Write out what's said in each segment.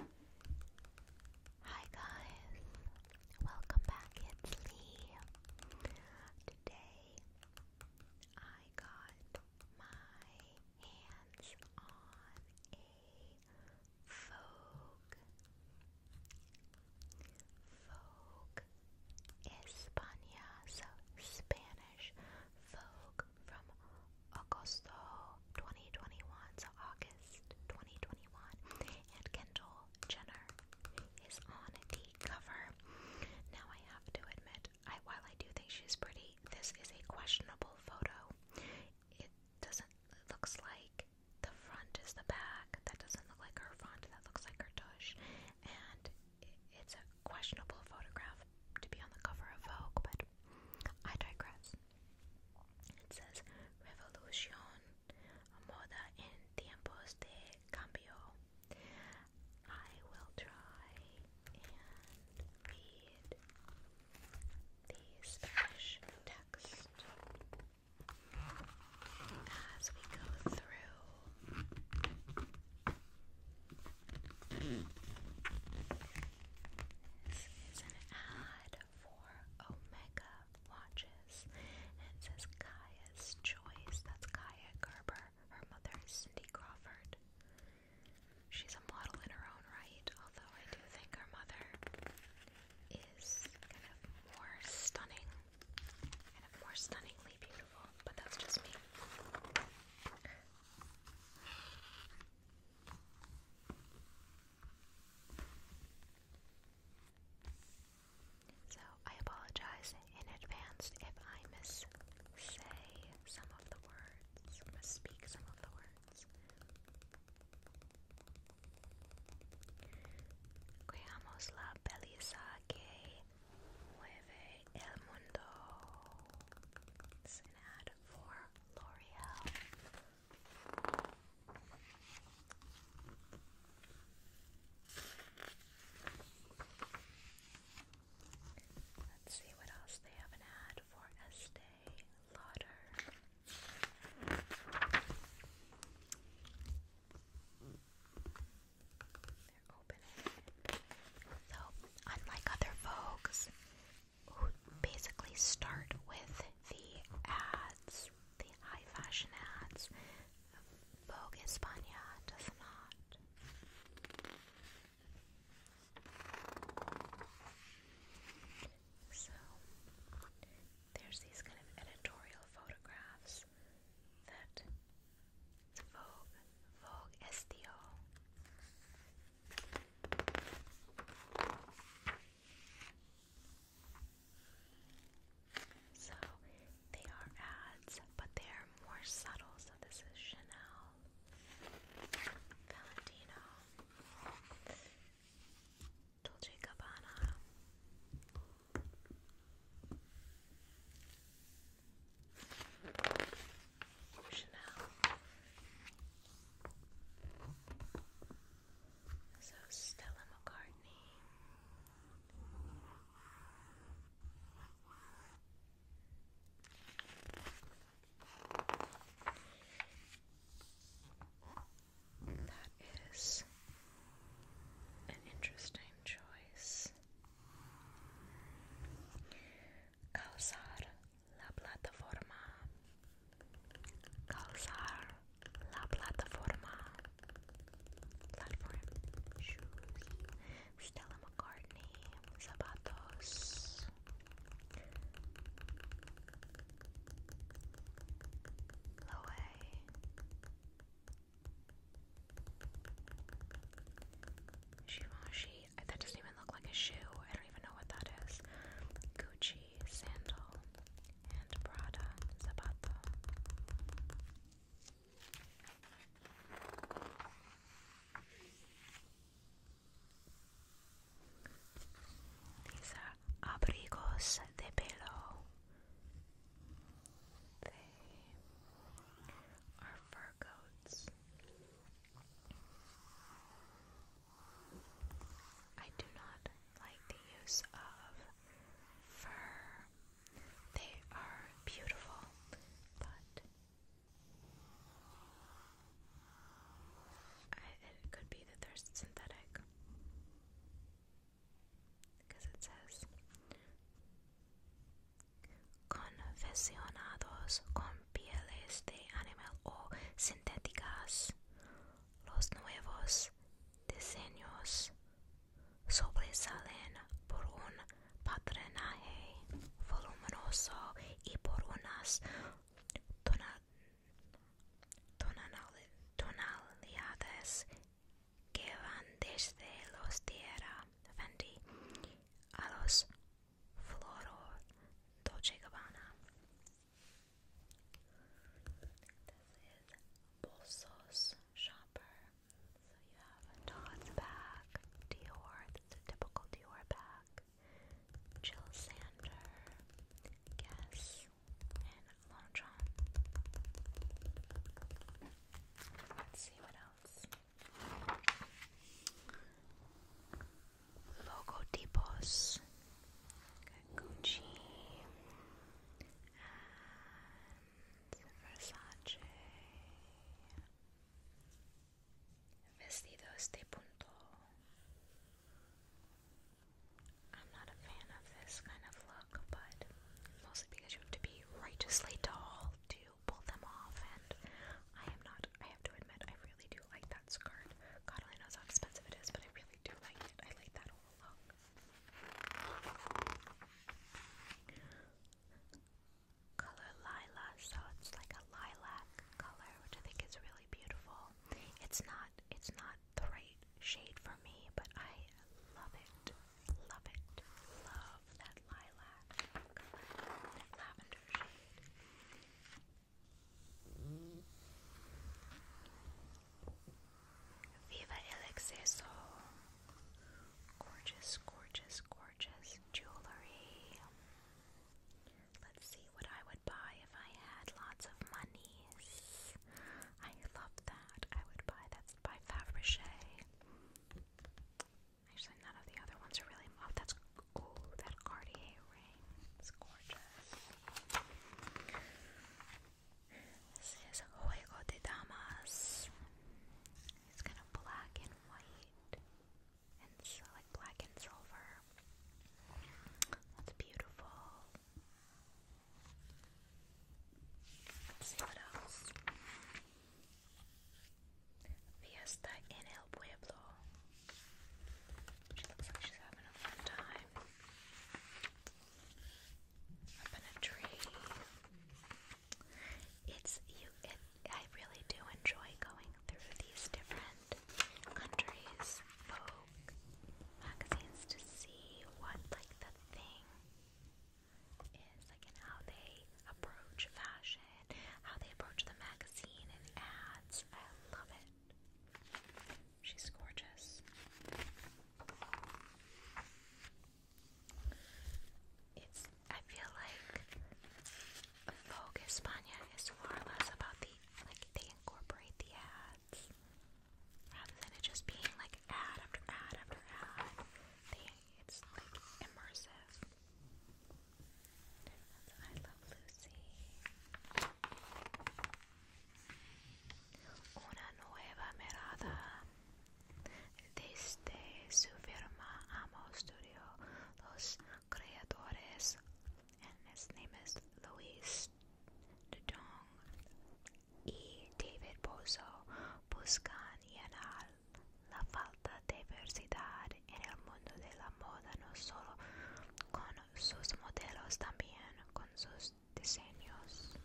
Hi guys, welcome back. It's Lee. Today I got my hands on a Vogue, Vogue España, so Spanish Vogue from August 2021 to August 2021, and Kendall Jenner is on the cover. Now, I have to admit, I, while I do think she's pretty, this is a questionable photo. It doesn't, it looks like the front is the back. That doesn't look like her front, that looks like her tush. And it's a questionable photograph to be on the cover of Vogue, but I digress. It says Revolución, Moda en Tiempos de Cambio. I will try and read the Spanish text as we go through. This is an ad for Omega watches. And it says Kaya's Choice. That's Kaya Gerber. Her mother is Cindy Crawford. She's a model in her own right, although I do think her mother is kind of more stunning. Kind of more stunningly beautiful, but that's just me. So I apologize in advance if I miss say some of the words, misspeak some of the words. Creamos la belleza que mueve el mundo. It's for L'Oreal. Let's see what else they have an ad for Estee Lauder. So, unlike other Vogues, basically start with the ads, the high fashion ads. Vogue España does not. So there's these kind of editorial photographs that Vogue, Vogue Estio. So they are ads, but they are more subtle. So this is Chanel, Valentino, Dolce Gabbana. Chanel so Stella McCartney. That is an interesting choice. Kausar la plataforma calzar la plataforma platform shoes Stella McCartney zapatos Loe Givenchy that doesn't even look like a shoe I don't even know what that is Gucci sandal, and Prada zapato. These are abrigos de pelo. They are fur coats. I do not like the use of fur. They are beautiful, but it could be that they're synthetic. Because it says confeccionados con pieles de animal o sintéticas Los nuevos diseños sobresalen por un patrinaje voluminoso y por unas tonalidades que van desde los tierra Fendi a los flor Dolce Gabbana. This is Bolsos Shopper. So you have a Todd's bag, Dior, that's a typical Dior bag, Jill Sander, Guess, and Longchamp. Let's see what else. Logotipos, Gucci, Versace. Vestidos de punto. I'm not a fan of this kind of look, but mostly because you have to be righteously tall to pull them off, and I am not. I have to admit, I really do like that skirt. God only knows how expensive it is, but I really really do like it. I like that whole look. Color Lila, so it's like a lilac color, which I think is really beautiful. It's not it's not the right shade for me, but I love it. Love it. Love that lilac color. Lavender shade. Viva el Gorgeous, gorgeous, gorgeous jewelry. Let's see what I would buy if I had lots of monies. I love that. I would buy that's by Fabergé. Actually, none of the other ones are really. Oh, that's ooh, that Cartier ring. It's gorgeous. This is Juego de Damas. It's kind of black and white. And it's like black and silver. That's beautiful. Let's see what else. Fiesta en el Pueblo. She looks like she's having a fun time. Up in a tree. It's you. It, I really do enjoy going through these different countries, folk magazines to see what like the thing is, like, and how they approach fashion, how they approach the magazine and ads. I love it. She's gorgeous. It's, I feel like Vogue España is more or less about the, like, they incorporate the ads rather than it just being like ad after ad after ad. it's like immersive. I Love Lucy. una nueva mirada. Desde su firma Amo Studio, los creadores en names Luis Dudong y David Bozo buscan llenar la falta de diversidad en el mundo de la moda no solo con sus modelos, también con sus muchos diseños.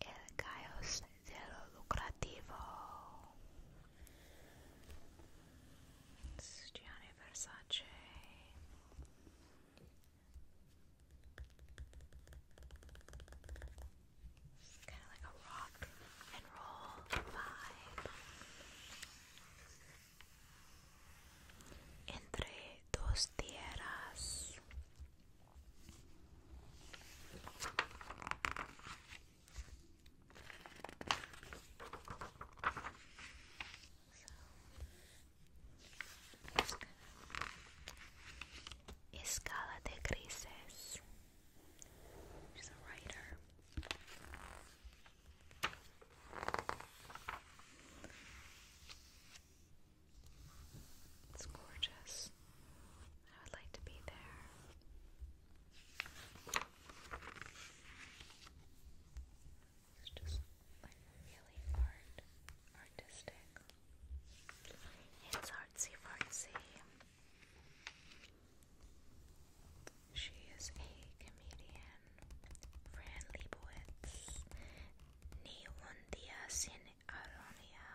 El caos de lo lucrativo. Gianni Versace. Kind of like a rock and roll vibe. Entre dos tierras. Escala de grises. She's a writer. It's gorgeous. I would like to be there. It's just like really art, artistic. It's artsy fartsy. She is a comedian. Fran Lebowitz, Ni un día sin ironía.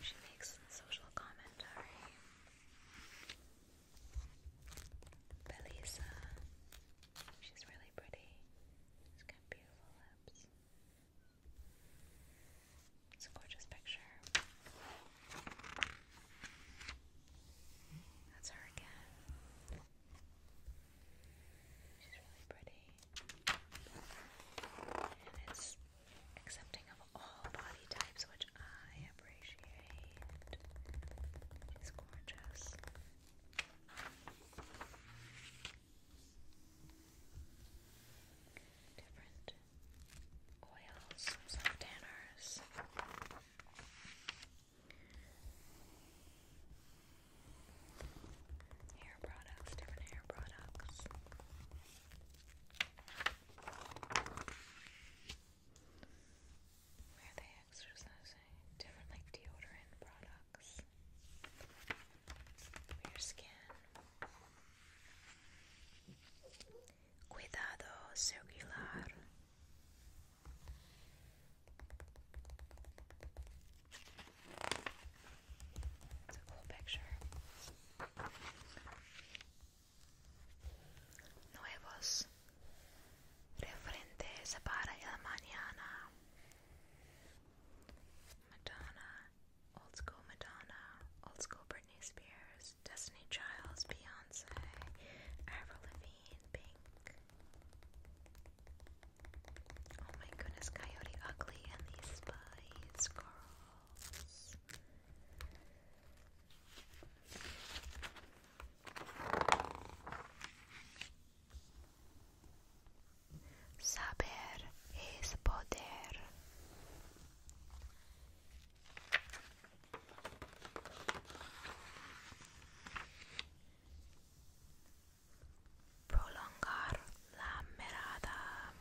She makes social commentary. Belisa, she's really pretty. She's got beautiful lips. It's a gorgeous picture. That's her again. She's really pretty. And it's accepting of all body types, which I appreciate. She's gorgeous different oils, some tanners. Hair products, different hair products. Where they exercising? Different like deodorant products. Your Cuidado circular. It's a Nuevos referentes para a manhã Madonna, old school Madonna, old school Britney Spears, Destiny Childs, Beyonce, Avril Lavigne, Pink. Oh my goodness, Coyote Ugly and the Spice Girls. Saber es poder. Prolongar la mirada.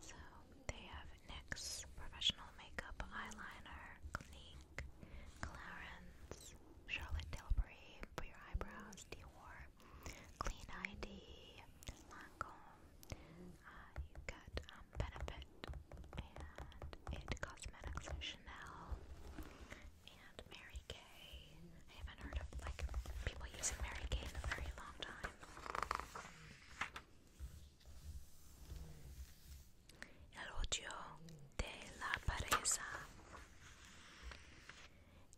So they have NYX Professional Makeup Eyeliner, Clinique, Clarence, Charlotte Tilbury for your eyebrows, Dior, Clean ID, Lancome. Uh, you get um, Benefit and It Cosmetics, Chanel, and Mary Kay. haven't heard of like people using Mary Kay in a very long time. El odio de la pereza.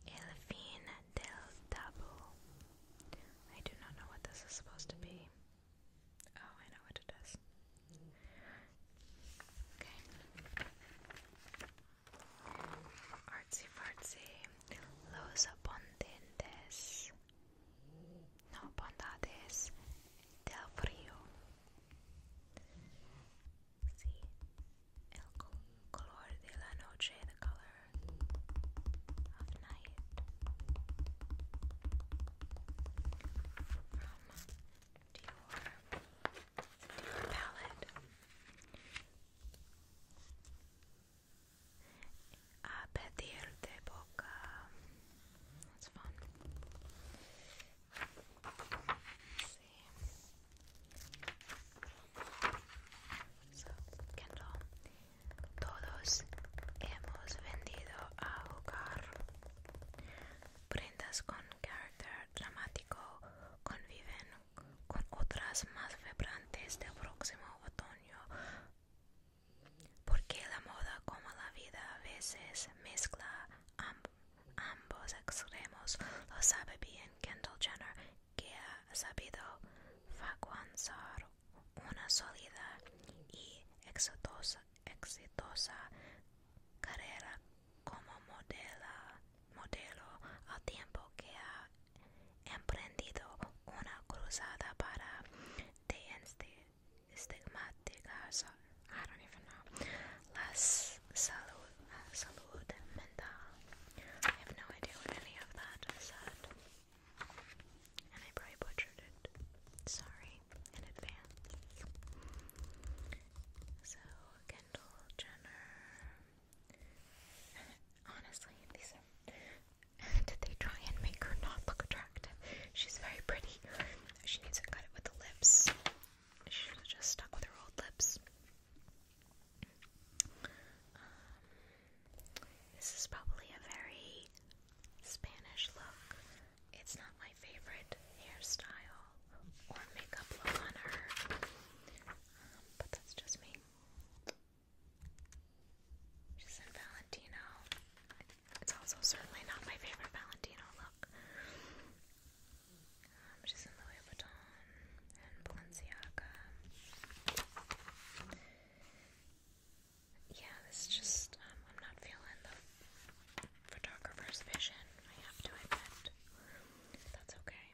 El fin del taboo. I do not know what this is supposed to be. Oh, I know what it is. Okay. Artsy fartsy. Los abundentes. No bondades del frío. Sí, el color de the night. From Dior palette. A de boca. Kendall, todos hemos vendido a jugar. Prendas con carácter dramático conviven con otras más vibrantes del próximo otoño. Porque la moda como la vida a veces mezcla ambos extremos, lo sabe bien Kendall Jenner que ha sabido facuanzar una sólida y exitosa, exitosa carrera como modelo modelo al tiempo que ha emprendido una cruzada para de este las salud, uh, salud mental. I have no idea what any of that said. And I probably butchered it. Sorry in advance. So, Kendall Jenner. Honestly, Did they try and make her not look attractive? She's very pretty. She needs to cut it with the lips. She just stuck with her old lips. Um, this is probably a very Spanish look. It's not my favorite hairstyle or makeup look on her, um, but that's just me. She's in Valentino. It's also certainly not my favorite Valentino look which is Louis Vuitton and Balenciaga. Yeah, this just, um, I'm not feeling the photographer's vision, I have to admit. That's okay.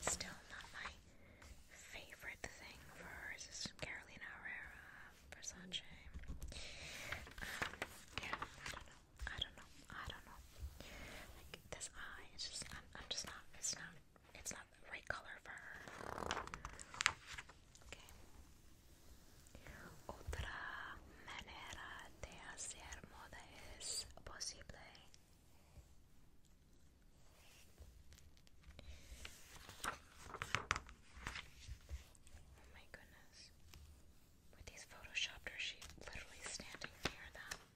Still not my favorite thing for Carolina Herrera, Versace. Um, yeah, I don't know. I don't know. I don't know. Like this eye, it's just I'm, just not. It's not. It's not the right color for her. Okay. Otra manera de hacer moda es posible. Oh my goodness. With these photoshopped, she's literally standing near them.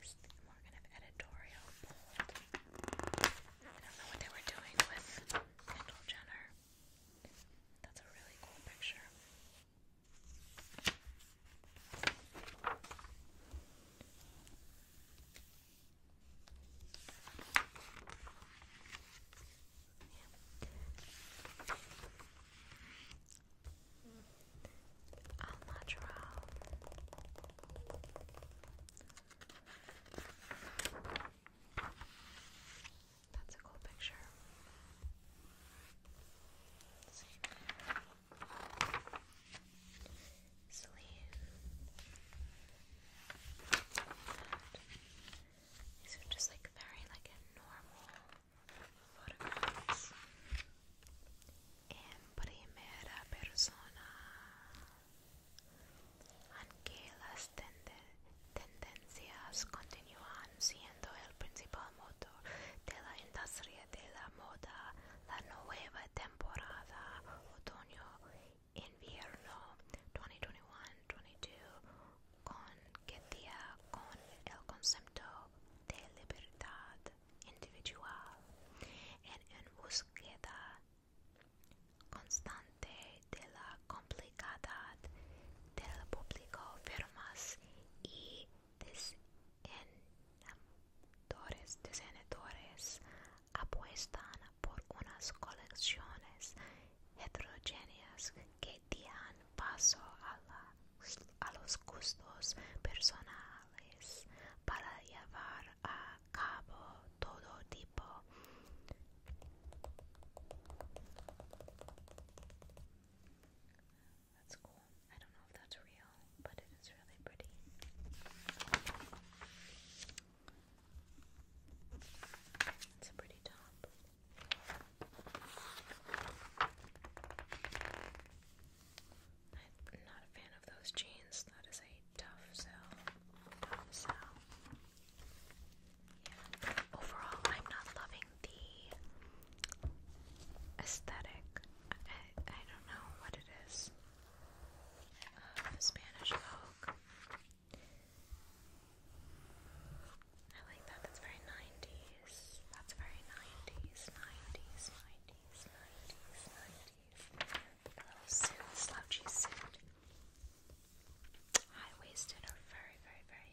these more kind of editorial I don't know what they were doing with Kendall Jenner. That's a really cool picture. Yeah. That's a cool picture. These are just like very like normal photographs. Em primera persona. Aunque las tendencias continúan siendo el principal motor de la industria de la moda, la nueva temporada otoño-invierno 2021 22 día con el concepto de libertad individual en, en búsqueda constante de la complicidad del público, firmas y diseñadores, apuestan por unas colecciones heterogéneas que dan paso a los gustos personales para llevar a cabo todo tipo that's cool. I don't know if that's real, but it is really pretty. It's a pretty top. I'm not a fan of those jeans. That is a tough sell. Tough sell. Yeah. Overall, I'm not loving the aesthetic. I, I don't know what it is. Uh, Spanish Vogue. I like that. That's very 90s. That's very 90s, 90s, 90s, 90s, 90s little suit, slouchy suit. High waisted or very, very, very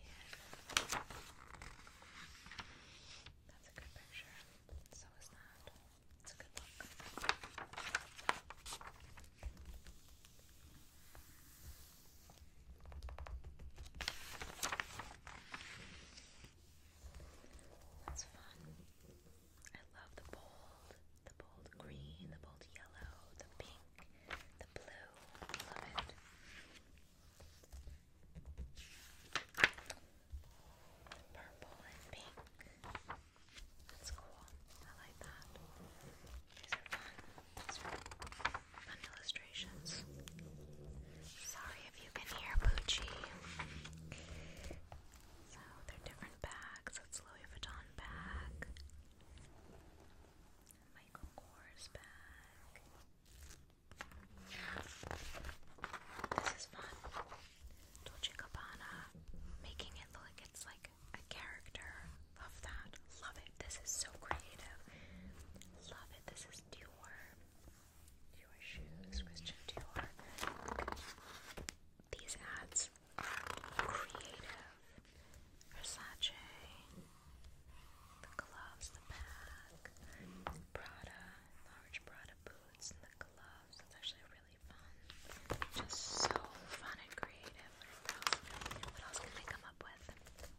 That's a good picture. So is that. It's a good look. That's fun. I love the bold, the bold green, the bold yellow, the pink, the blue. Love it. purple and pink. That's cool. I like that. These are fun. fun illustrations. Sorry if you can hear Poochie. So oh, they're different bags. It's Louis Vuitton bag, Michael Kors bag. This is fun. Dolce Gabbana, making it look like it's like a character. Love that. Love it. This is so creative. Love it. This is Dior. Dior shoes, These ads Creative, Versace, the gloves, the bag, Prada, large Prada boots, and the gloves. That's actually really fun. Just so fun and creative. What else can I come up with?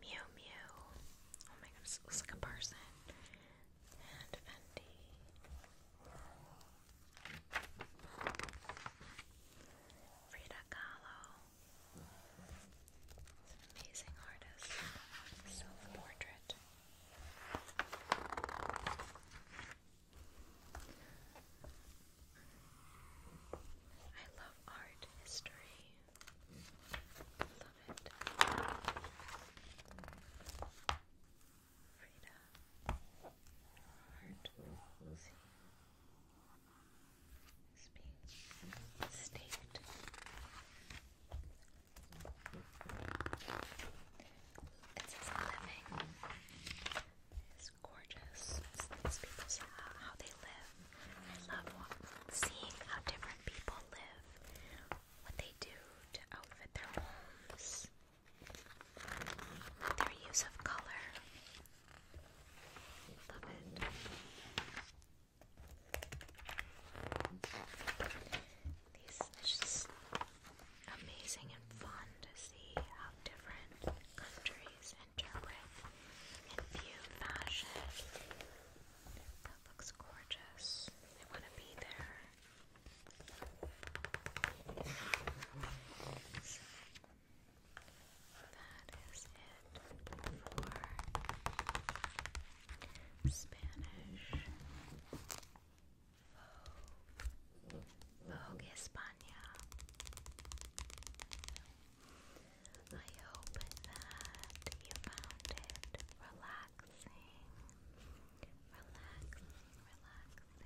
Mew Mew. Oh my god, this looks like a person. And Fendi. Frida Kahlo amazing artist. Self-portrait. I love art history. I love it. Frida, heart will see is being staked. It's living. It's gorgeous. these people's uh, how they live. I love seeing how different people live, what they do to outfit their homes. Their use of color. Love it. These just amazing and fun to see how different countries interpret and view fashion. That looks gorgeous. I want to be there. That is it for Spanish. Vogue, España. I hope that you found it relaxing, relaxing, relaxing relaxing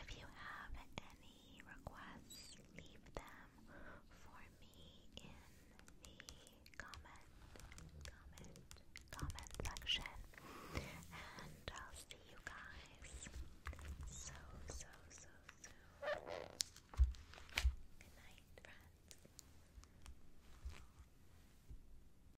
If you have any requests, leave them for me in the comment, comment, comment section. And I'll see you guys so, so, so soon. Good night, friends.